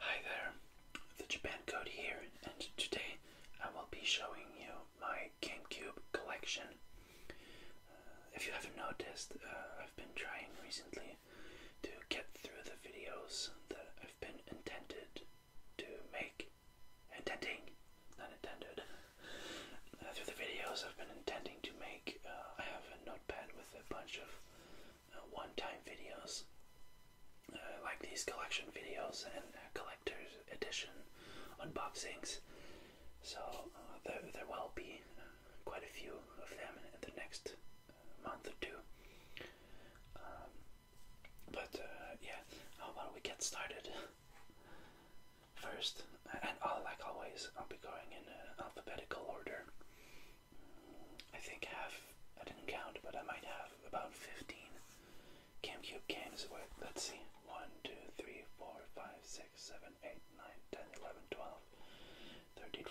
Hi there, the Japan Code here, and today I will be showing you my GameCube collection. Uh, if you haven't noticed, uh, I've been trying recently to get through the videos that I've been intended to make. Intending, not uh, through the videos I've been intending to make, I have a notepad with a bunch of uh, one-time videos uh, like these collection videos and collector's edition unboxings. So uh, there, there will be quite a few of them in the next month or two. Um, but yeah, how about we get started? First, and I'll, like always, I'll be going in alphabetical order. I think I have, I didn't count, but I might have about 15 GameCube games Wait, Let's see 1, 2, 3, 4, 5, 6, 7, 8, 9, 10, 11, 12, 13,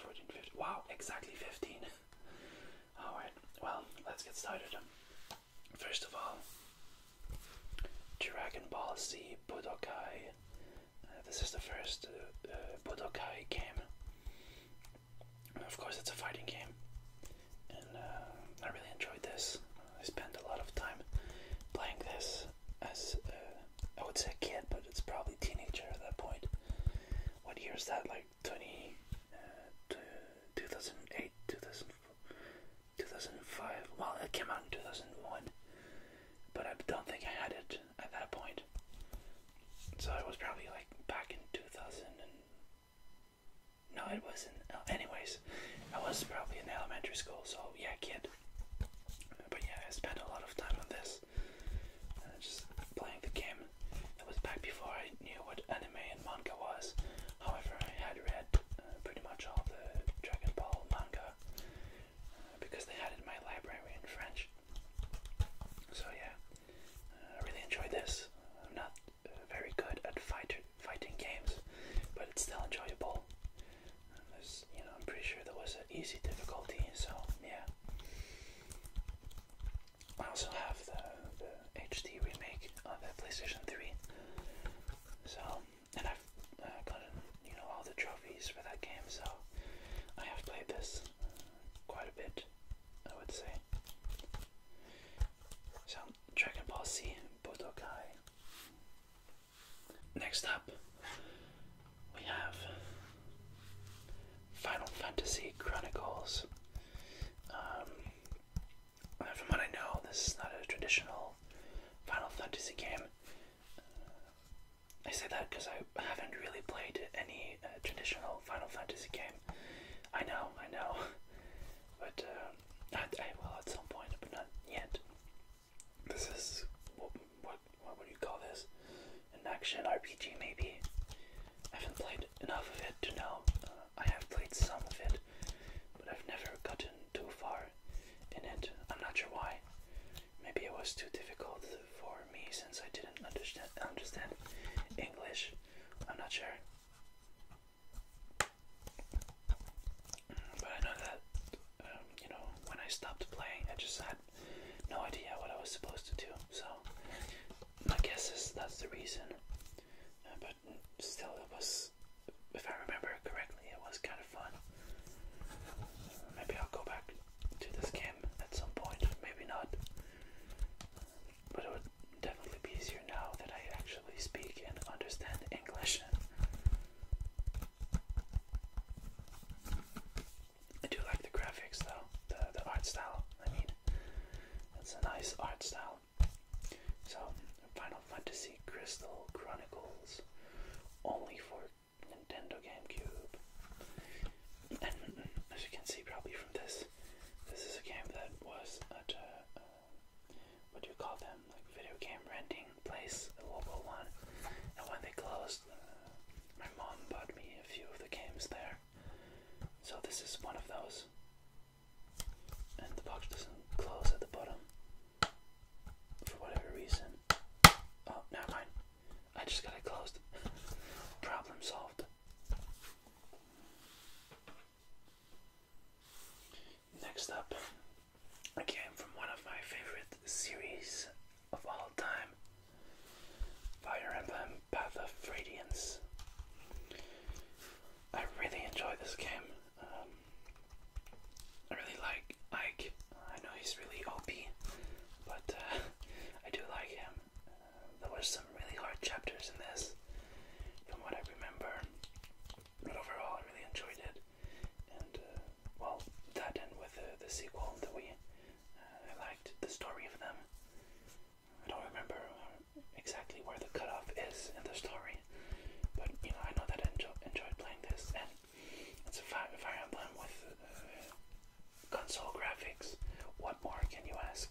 14, 15. Wow, exactly 15. Alright, well, let's get started. First of all, Dragon Ball Z Budokai. Uh, this is the first uh, uh, Budokai game of course, it's a fighting game, and uh, I really enjoyed this. I spent a lot of time playing this as I would say a kid, but it's probably teenager at that point. What year is that? Like 20, uh, 2008, 2000, 2005. Well, it came out in 2001, but I don't think I had it at that point. So it was probably like back in 2000 no, it wasn't. Uh, anyways, I was probably in elementary school, so yeah, kid. But yeah, I spent a lot of time on this, uh, just playing the game. It was back before I knew what anime and manga was. However, I had read uh, pretty much all the Dragon Ball manga uh, because they had it in my library in French. So yeah, uh, I really enjoyed this. I'm not uh, very good at fight fighting games, but it's still enjoyable. Um, there's, you know, I'm pretty sure there was an easy difficulty. So yeah, I also have the, the HD remake on the PlayStation 3. So and I've uh, you know all the trophies for that game. So I have played this quite a bit, I would say. So, Dragon Ball Z Budokai. Next up, we have Final Fantasy Chronicles. Um, from what I know, this is not a traditional Final Fantasy game. I say that because I haven't really played any uh, traditional Oh, Final Fantasy game. I know, I know. But uh, I, I will at some point, but not yet. This is what what what would you call this? An action RPG maybe. I haven't played enough of it to know. Uh, I have played some of it, but I've never gotten too far in it. I'm not sure why. Maybe it was too difficult for me since I didn't understand English. I'm not sure. But I know that um, you know when I stopped playing, I just had no idea what I was supposed to do. So I guess that's the reason. Uh, but still, it was, if I remember correctly, it was kind of fun. Maybe I'll go back to this game at some point. Maybe not. But it would definitely be easier now that I actually speak and understand English. I do like the graphics though, the, the art style, I mean, it's a nice art style. So, Final Fantasy Crystal Chronicles, only for Nintendo GameCube. And as you can see probably from this, this is a game that was at a, uh, what do you call them, like video game renting place, a local one. And when they closed, uh, my mom bought me a few of the games there. So this is one of those. And the box doesn't close at the bottom for whatever reason. Oh, never mind. I just got it closed. Problem solved. Next up, I came from one of my favorite series of all time Fire Emblem Path of Radiance. I really enjoy this game. Um, I really like Ike. I know he's really OP, but uh, I do like him there were some really hard chapters in this, from what I remember. But overall, I really enjoyed it, and uh, well, that and with the, the sequel that we, uh, liked the story of them. I don't remember uh, exactly where the cut off is in the story, but you know I know that I enjoyed playing this, and it's a Fire Emblem with console graphics. What more can you ask?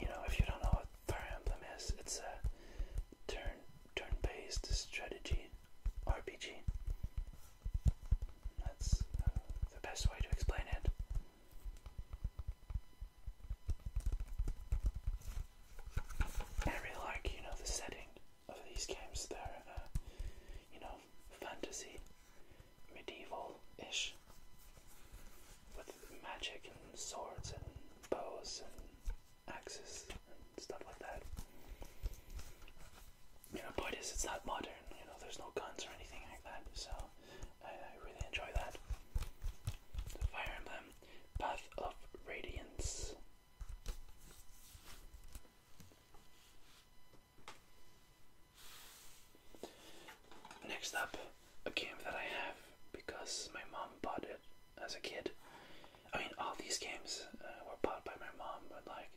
you know, if you don't know what Fire Emblem is, it's a turn turn-based strategy RPG. That's uh, the best way to explain it. I really like, you know, the setting of these games. They're, uh, you know, fantasy, medieval ish, with magic and swords and bows and axes and stuff like that. You know, point is, it's not modern, you know, there's no guns or anything like that, so I, really enjoy that. Fire Emblem Path of Radiance. Next up, a game that I have because my mom bought it as a kid. I mean, all these games uh, were bought by my mom, but like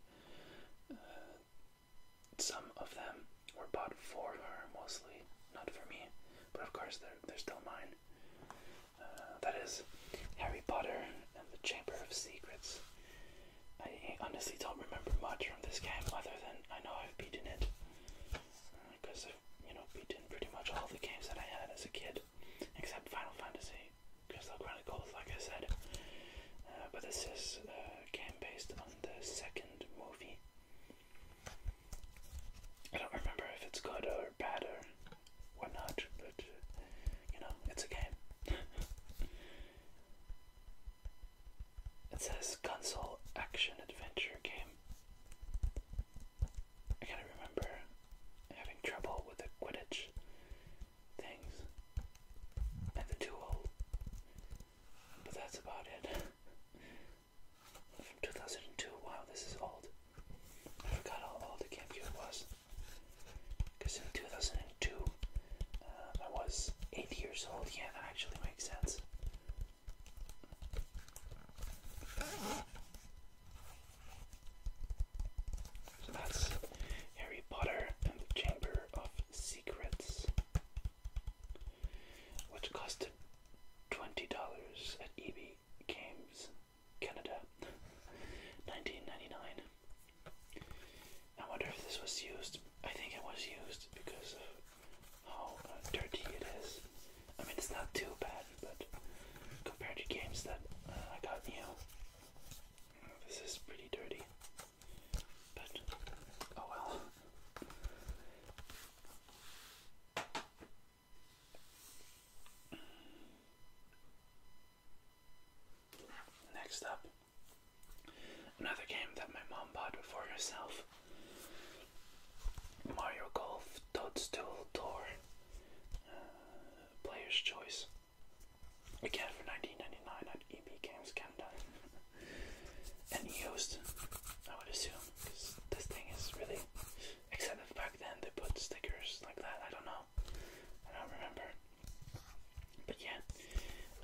uh, some of them were bought for her mostly, not for me. But of course, they're they're still mine. Uh, that is Harry Potter and the Chamber of Secrets. I honestly don't remember much from this game other than I know I've beaten it because uh, I've you know beaten pretty much all the games that I had as a kid except Final Fantasy because Crystal Chronicles like I said uh, but this is a game based on the second movie I don't remember if it's good or bad or whatnot but you know it's a game It says console action adventure game. I kind of remember having trouble with the Quidditch things and the duel, but that's about it. 2002, wow, this is old. I forgot how old the GameCube was. Because in 2002, uh, I was eight years old. Yeah, that actually makes sense. So that's Harry Potter and the Chamber of Secrets, which costed twenty dollars at EB Games Canada, nineteen ninety nine. I wonder if this was used. I think it was used because of how uh, dirty it is. I mean, it's not too bad, but compared to games that uh, I got you know, this is pretty dirty. But oh well. Next up, Another game that my mom bought for herself Mario Golf Toadstool Tour uh, Player's Choice. Again for 19 at EB Games Canada. and used, I would assume, because this thing is really. Except back then they put stickers like that, I don't know. I don't remember. But yeah,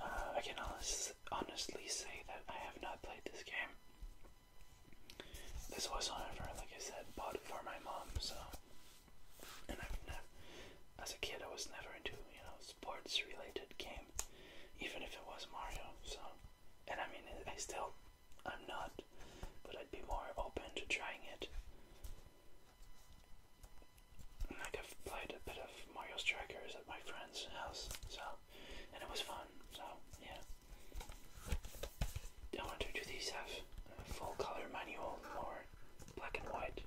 uh, I can honestly say that I have not played this game. This was, however, like I said, bought for my mom, so. And I've never, as a kid, I was never into, you know, sports related game, even if it was Mario, so. And I mean, I still, I'm not, but I'd be more open to trying it like i played a bit of Mario Strikers at my friend's house, so and it was fun. So yeah, do these have full color manual or black and white?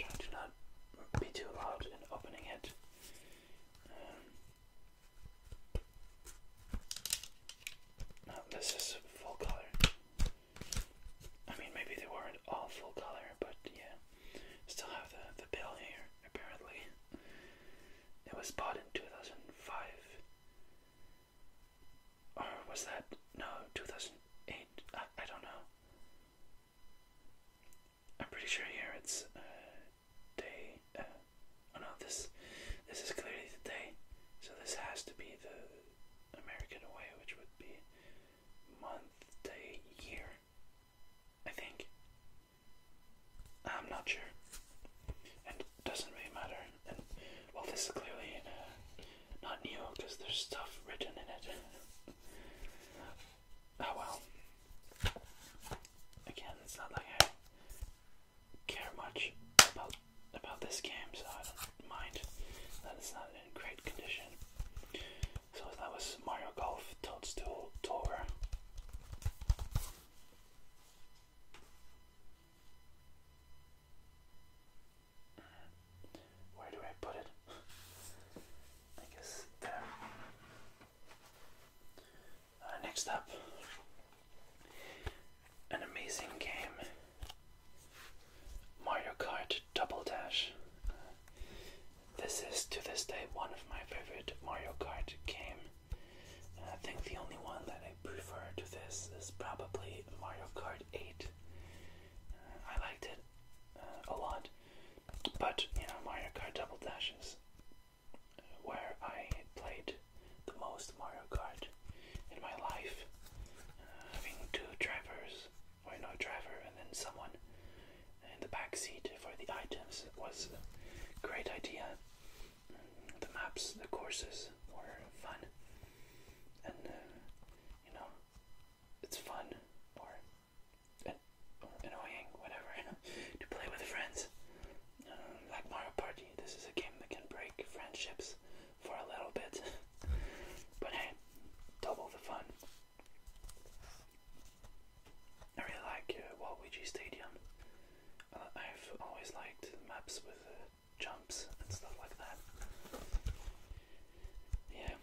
trying to not be too loud in opening it. Um, no, this is full color. I mean, maybe they weren't all full color, but yeah. Still have the, the bill here, apparently. It was bought in 2005. Or was that? No, 2008. I, I don't know. I'm pretty sure here it's uh, day. Uh, oh no, this this is clearly the day. So this has to be the American way, which would be month, day, year. I think. I'm not sure. And it doesn't really matter. And well, this is clearly uh, not new because there's stuff written in it. oh well. Again, it's not like I care much about about this game, so I don't mind that it's not in great condition. So that was Mario Golf Toadstool Tour. Where do I put it? I guess there. Uh, next up, an amazing game Mario Kart double dash. this is to this day one of my favorite Mario Kart game. I think the only one that I prefer to this is probably Mario Kart 8. Uh, I liked it uh, a lot, but you know Mario Kart Double Dash is uh, where I played the most Mario Kart in my life. having two drivers or no driver, and then someone in the back seat for the items was a great idea. The maps, the courses were fun, and uh, you know, it's fun or, uh, annoying, whatever, to play with friends. Uh, like Mario Party, this is a game that can break friendships for a little bit, but hey, double the fun. I really like uh, Waluigi Stadium. Uh, I've always liked maps with jumps and stuff like that. Yeah,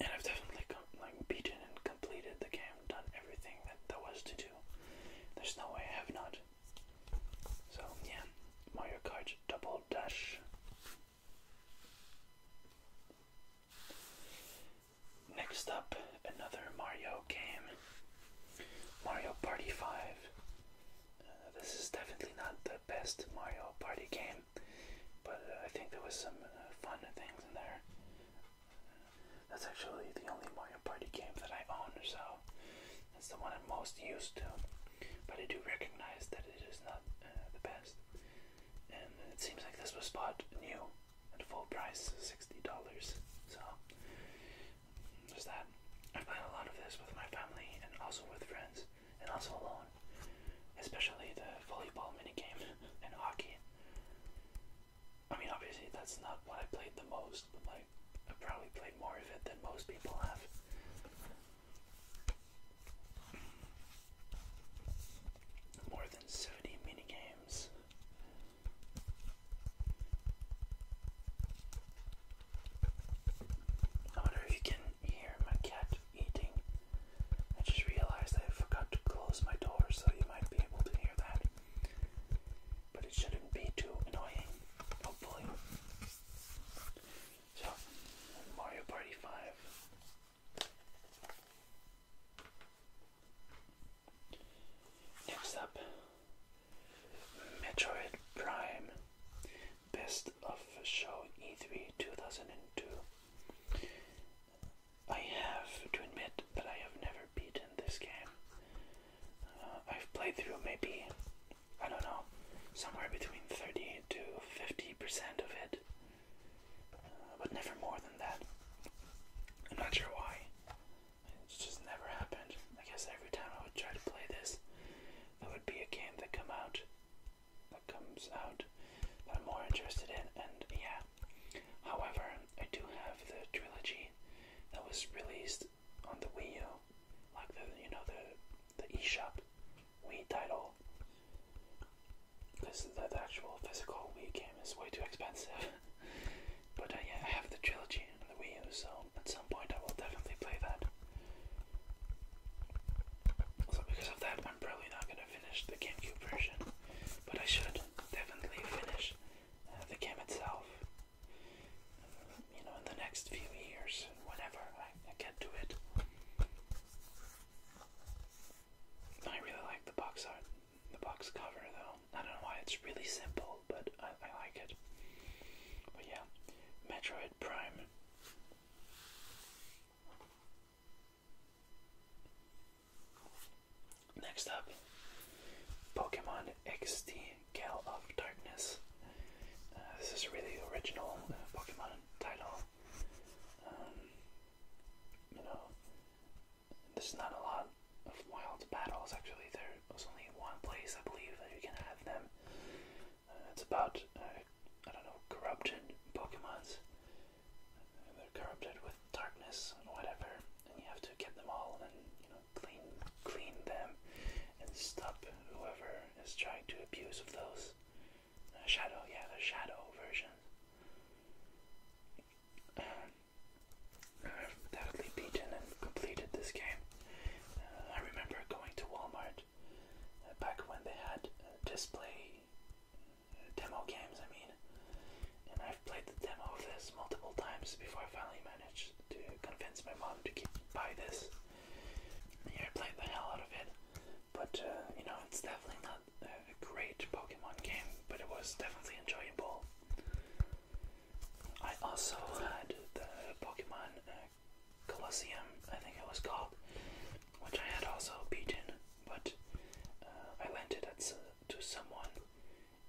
and I've definitely like beaten and completed the game, done everything that there was to do. There's no way I have not. So yeah, Mario Kart Double Dash Next up, another Mario game Mario Party 5. Uh, this is definitely not the best Mario Party game, but uh, I think there was some uh, fun things in there. That's actually the only Mario Party game that I own, so that's the one I'm most used to. But I do recognize that it is not the best and it seems like this was bought new at full price, $60. So, there's that. I played a lot of this with my family and also with friends, and also alone, especially the volleyball mini game and hockey. I mean, obviously, that's not what I played the most, but like, I probably played more of it than most people have. More than 70 mini games. I wonder if you can hear my cat eating. I just realized I forgot to close my door, so you might be able to hear that. But it shouldn't be too annoying, hopefully. So, Mario Party 5. Next up, Metroid Prime Best of Show E3 2002. I have to admit that I have never beaten this game. Uh, I've played through maybe, I don't know, somewhere between 30 to 50% of it. Uh, but never more than that. I'm not sure why. It's just never happened. I guess every time I would try to play this, there would be a game that come out, that comes out, that I'm more interested in, and yeah. However, I do have the trilogy that was released on the Wii U, like the you know the the eShop Wii title physical. Because the, actual physical Wii game is way too expensive. but uh, yeah, I have the trilogy on the Wii U, so at some point I will definitely play that. So because of that, I'm probably not gonna finish the GameCube version, but I should definitely finish uh, the game itself. Uh, you know, in the next few years, whatever I, can do it. I really like the box art, the box cover though. I don't know why it's really simple, but I, like it. But yeah, Metroid Prime. Next up, Pokemon XD Gale of Darkness. Uh, this is a really original uh, Pokemon title. Um, you know, there's not a lot of wild battles actually. There was only one place I believe that you can have them. Uh, it's about uh, I don't know corrupted Pokemon's. Uh, they're corrupted with darkness and whatever, and you have to get them all and you know clean clean them and stop whoever is trying to abuse of those shadow, yeah, the shadow version. I've uh, undoubtedly beaten and completed this game. Uh, I remember going to Walmart uh, back when they had display demo games, I mean, and I've played the demo of this multiple times before I finally managed to convince my mom to keep, buy this. Yeah, I played the hell out of it. But uh, you know, it's definitely not a great Pokemon game, but it was definitely enjoyable. I also had the Pokemon uh, Colosseum, I think it was called, which I had also beaten, but uh, I lent it at, to someone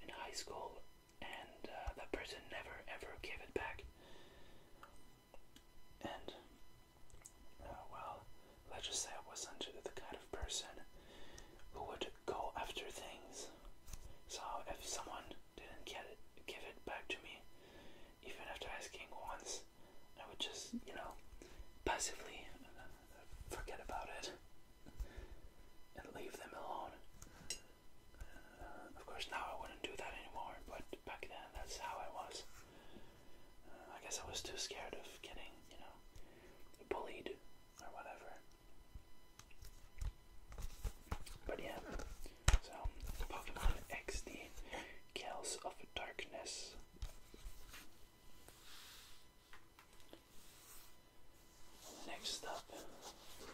in high school, and uh, that person never ever gave it back. And uh, well, Let's just say I wasn't the kind of person who would go after things. So if someone didn't get it, give it back to me, even after asking once, I would just, you know, passively uh, forget about it and leave them alone. Uh, of course, now I wouldn't do that anymore, but back then that's how I was. I guess I was too scared of getting, you know, bullied or whatever. But yeah, so Pokemon XD Chaos of Darkness. Next up,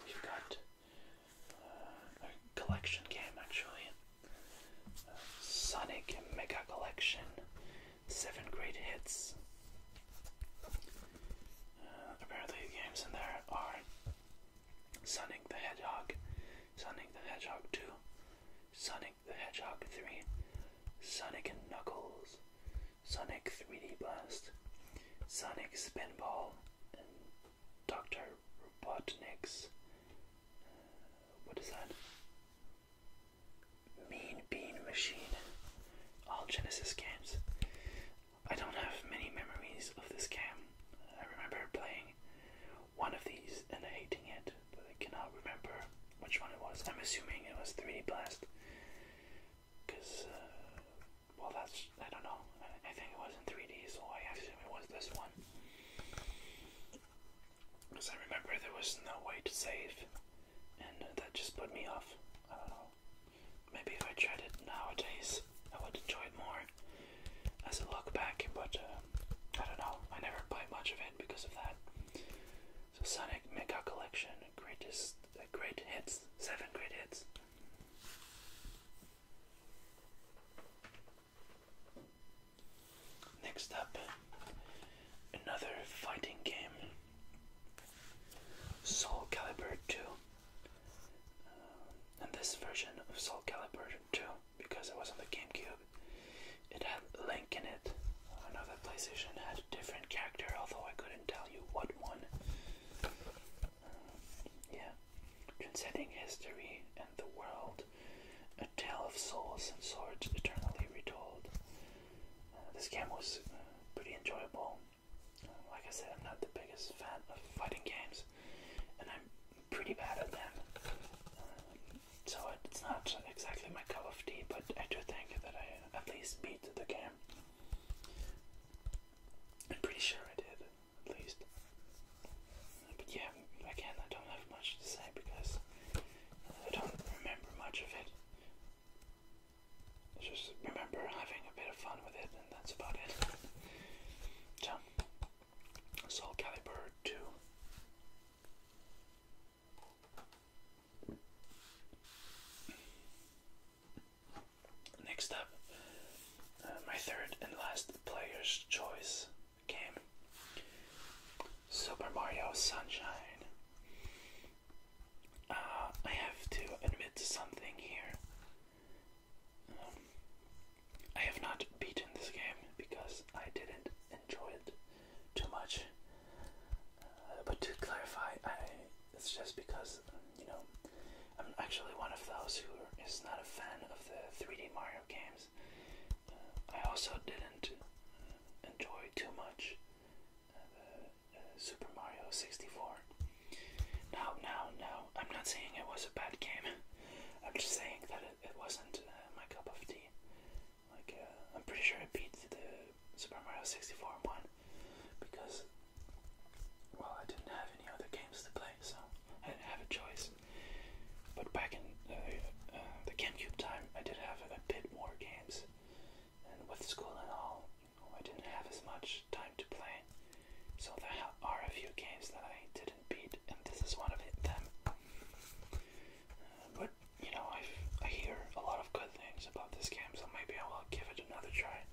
we've got uh, a collection game actually uh, Sonic Mega Collection seven great hits. Uh, apparently, the games in there are Sonic the Hedgehog, Sonic the Hedgehog 2, Sonic the Hedgehog 3, Sonic and Knuckles, Sonic 3D Blast, Sonic Spinball, and Dr. Robotnik's. Uh, what is that? Mean Bean Machine. All Genesis games. I don't have many memories of this game. I remember playing one of these and hating it, but I cannot remember which one it was. I'm assuming it was 3D Blast. Because, uh, well, that's, I don't know. I think it was in 3D, so I assume it was this one. Because I remember there was no way to save and that just put me off. I don't know. Maybe if I tried it nowadays, I would enjoy it more as a look back, but uh, I don't know. I never buy much of it because of that. So Sonic Mega Collection, greatest, uh, great hits, seven great hits. Next up, another fighting game. Soul Calibur 2. Uh, and this version of Soul Calibur 2, because it was on the GameCube, it had Link in it. I know that PlayStation had a different character, although I couldn't tell you what one. Uh, yeah. Transcending history and the world, a tale of souls and swords eternally retold. Uh, this game was pretty enjoyable. like I said, I'm not the biggest fan of fighting games, and I'm pretty bad at them. Um, so it's not exactly my cup of tea, but I do think that I at least beat the game. I'm pretty sure I did, at least. But yeah, again, I don't have much to say because I don't remember much of it just remember having a bit of fun with it, and that's about it. So, Soul Calibur 2. Next up, uh, my third and last player's choice game Super Mario Sunshine. Uh, I have to admit something here. Um, I have not beaten this game because I didn't enjoy it too much. Uh, but to clarify, it's just because, you know, I'm actually one of those who is not a fan of the 3D Mario games. Uh, I also didn't enjoy too much Super Mario 64. Now, now, now, I'm not saying it was a bad game. I'm just saying that it, wasn't uh, my cup of tea. Like, uh, I'm pretty sure I beat the Super Mario 64 one because, well, I didn't have any other games to play, so I didn't have a choice. But back in uh, the GameCube time, I did have a bit more games and with school and all, I didn't have as much time to play. So there are a few games that I didn't beat, and this is one of them. Uh, but you know, I I hear a lot of good things about this game, so maybe I will give it another try.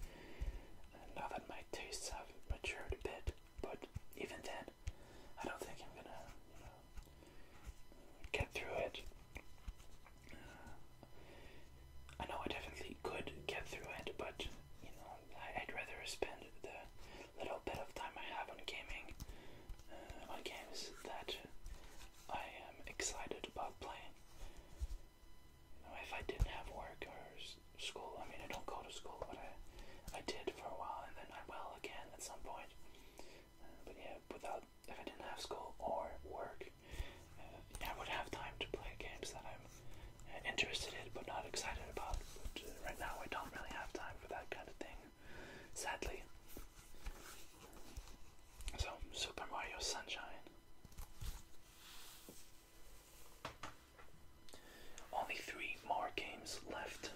And uh, now that my tastes have matured a bit, but even then, I don't think I'm gonna get through it. I know I definitely could get through it, but you know, I'd rather spend the little bit of time I have on gaming uh, on games that I am excited about playing. You know, if I didn't have work or school, I mean, I don't go to school, but I, I did for a while, and then I will again at some point. Uh, but yeah, without if I didn't have school or work, uh, I would have time to play games that I'm uh, interested in but not excited about. Uh, right now, I don't really have time for that kind of thing, sadly. So, Super Mario Sunshine. Only three more games left.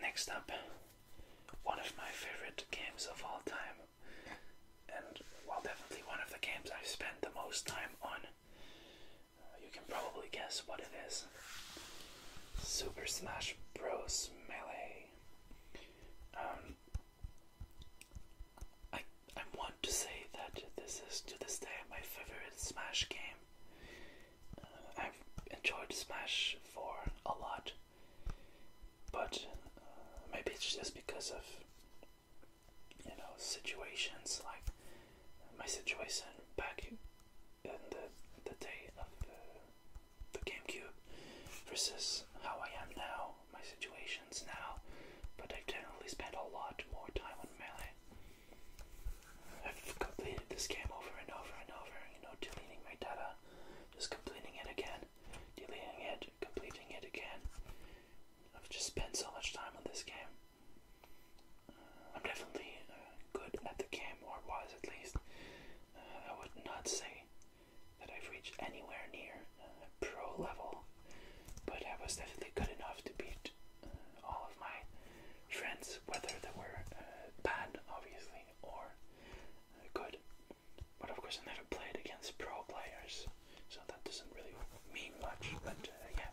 Next up, one of my favorite games of all time and while definitely one of the games I've spent the most time on. Uh, you can probably guess what it is Super Smash Bros. Melee. Um, I, I want to say that this is to this day my favorite Smash game. Uh, I've enjoyed Smash 4 a lot but uh, maybe it's just because of you know situations like my situation back in the the day of the, GameCube versus how I am now, my situations now. But I have generally spent a lot more time on melee. I've completed this game over and over and over, you know, deleting my data, just completing it again, deleting it, completing it again. I've just spent so much time on this game. Uh, I'm definitely uh, good at the game, or was at least. Uh, I would not say that I've reached anywhere near uh, pro level, but I was definitely good enough to beat all of my friends, whether they were bad, obviously, or good but of course I never played against pro players, so that doesn't really mean much. But uh, yeah,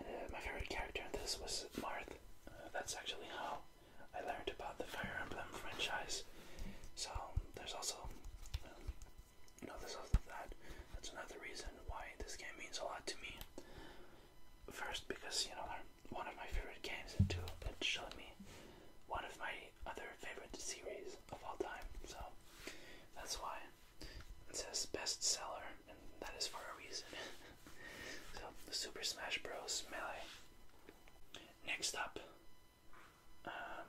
uh, my favorite character in this was Marth. Uh, that's actually how I learned about the Fire Emblem franchise. So there's also, um, no, there's also that. That's another reason why this game means a lot to me. First, because you know they're one of my favorite games, and two, it's showed me one of my other favorite series of all time, so that's why it says bestseller, and that is for a reason. so, Super Smash Bros. Melee. Next up, um,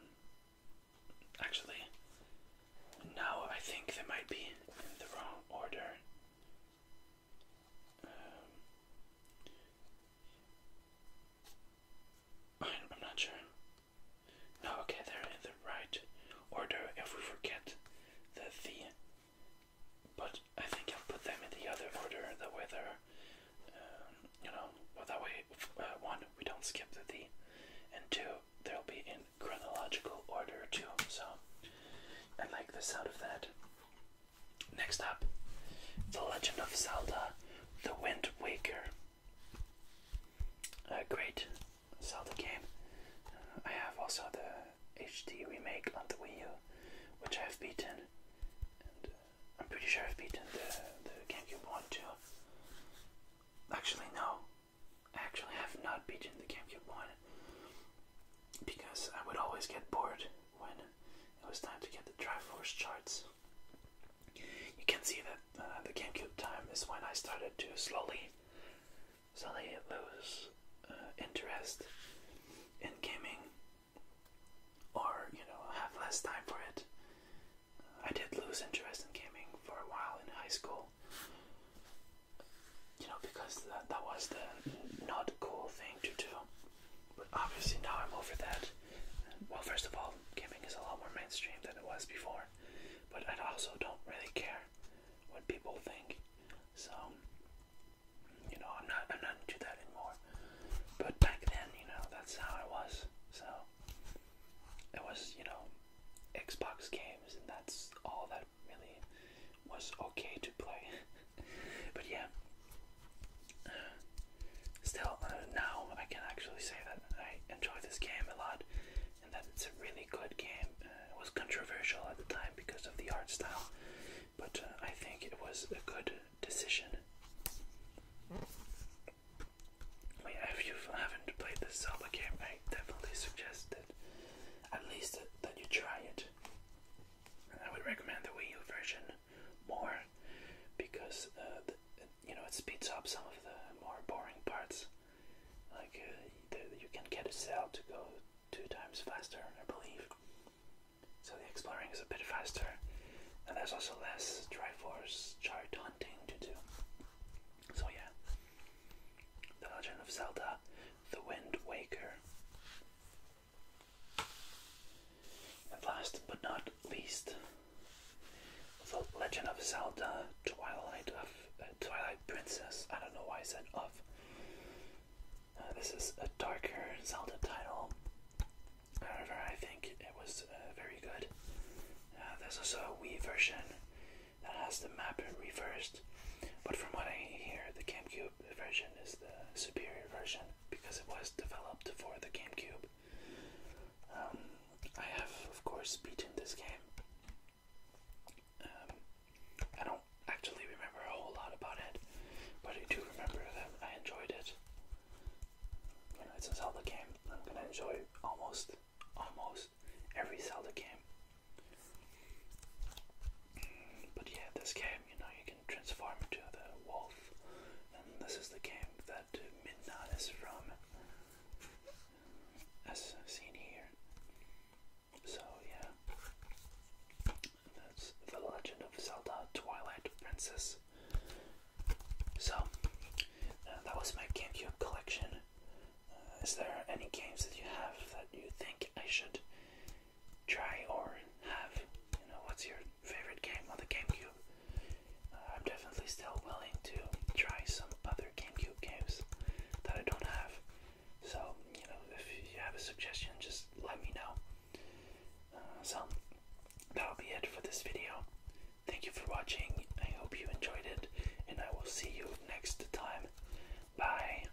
actually, now I think they might be in the wrong order. Um, I'm not sure. No, okay, they're in the right order if we forget the the. But I think I'll put them in the other order, The way they're, um, you know, well, that way, uh, one, we don't skip the the, and two, they'll be in chronological order too, so I like the sound of that. Next up, The Legend of Zelda the Wind Waker. A great Zelda game. Uh, I have also the HD remake on the Wii U, which I've beaten. Uh, I'm pretty sure I've beaten the, the GameCube one too. Actually, no. I actually have not beaten the GameCube one because I would always get bored when it was time to get the force charts. You can see that uh, the GameCube time is when I started to slowly, slowly lose uh, interest in gaming, or you know, have less time for it. Uh, I did lose interest in gaming for a while in high school, you know, because that was the not cool thing to do but obviously now I'm over that. Well, first of all, gaming is a lot more mainstream than it was before, but I also don't really care what people think. So, you know, I'm not I'm not into that anymore. But back then, you know, that's how I was. So it was, you know, Xbox games, and that's all that really was okay to play. but yeah. Still, now I can actually say that I enjoy this game a lot and that it's a really good game. Uh, it was controversial at the time because of the art style, but uh, I think it was a good decision. if you haven't played this Zelda game, I definitely suggest that at least that, that you try it. I would recommend the Wii U version more because uh, you know it speeds up some of the more boring parts. Like uh, you can get a cell to go two times faster, I believe. So the exploring is a bit faster, and there's also less Triforce chart hunting to do. So yeah, The Legend of Zelda: The Wind Waker. And last but not least, The Legend of Zelda Twilight of uh, Twilight Princess. I don't know why I said of. Uh, this is a darker Zelda title. However, I think it was uh, very good. Uh, there's also a Wii version that has the map reversed, but from what I hear, the GameCube version is the superior version because it was developed for the GameCube. Um, I have, of course, beaten this game. Um, I don't actually remember a whole lot about it, but I do remember that I enjoyed it. You know, it's a Zelda game. I'm gonna enjoy almost, almost every Zelda game. But yeah, this game, you know, you can transform into the wolf, and this is the game that that is from, as seen here. So, yeah. That's The Legend of Zelda Twilight Princess. So, uh, that was my GameCube collection. Uh, is there any games that you have that you think I should try or have? You know, what's your favorite game on the GameCube? I'm definitely still willing to try some other GameCube games that I don't have. So, you know, if you have a suggestion, just let me know. Uh, so, that'll be it for this video. Thank you for watching. I hope you enjoyed it, and I will see you next time. Bye.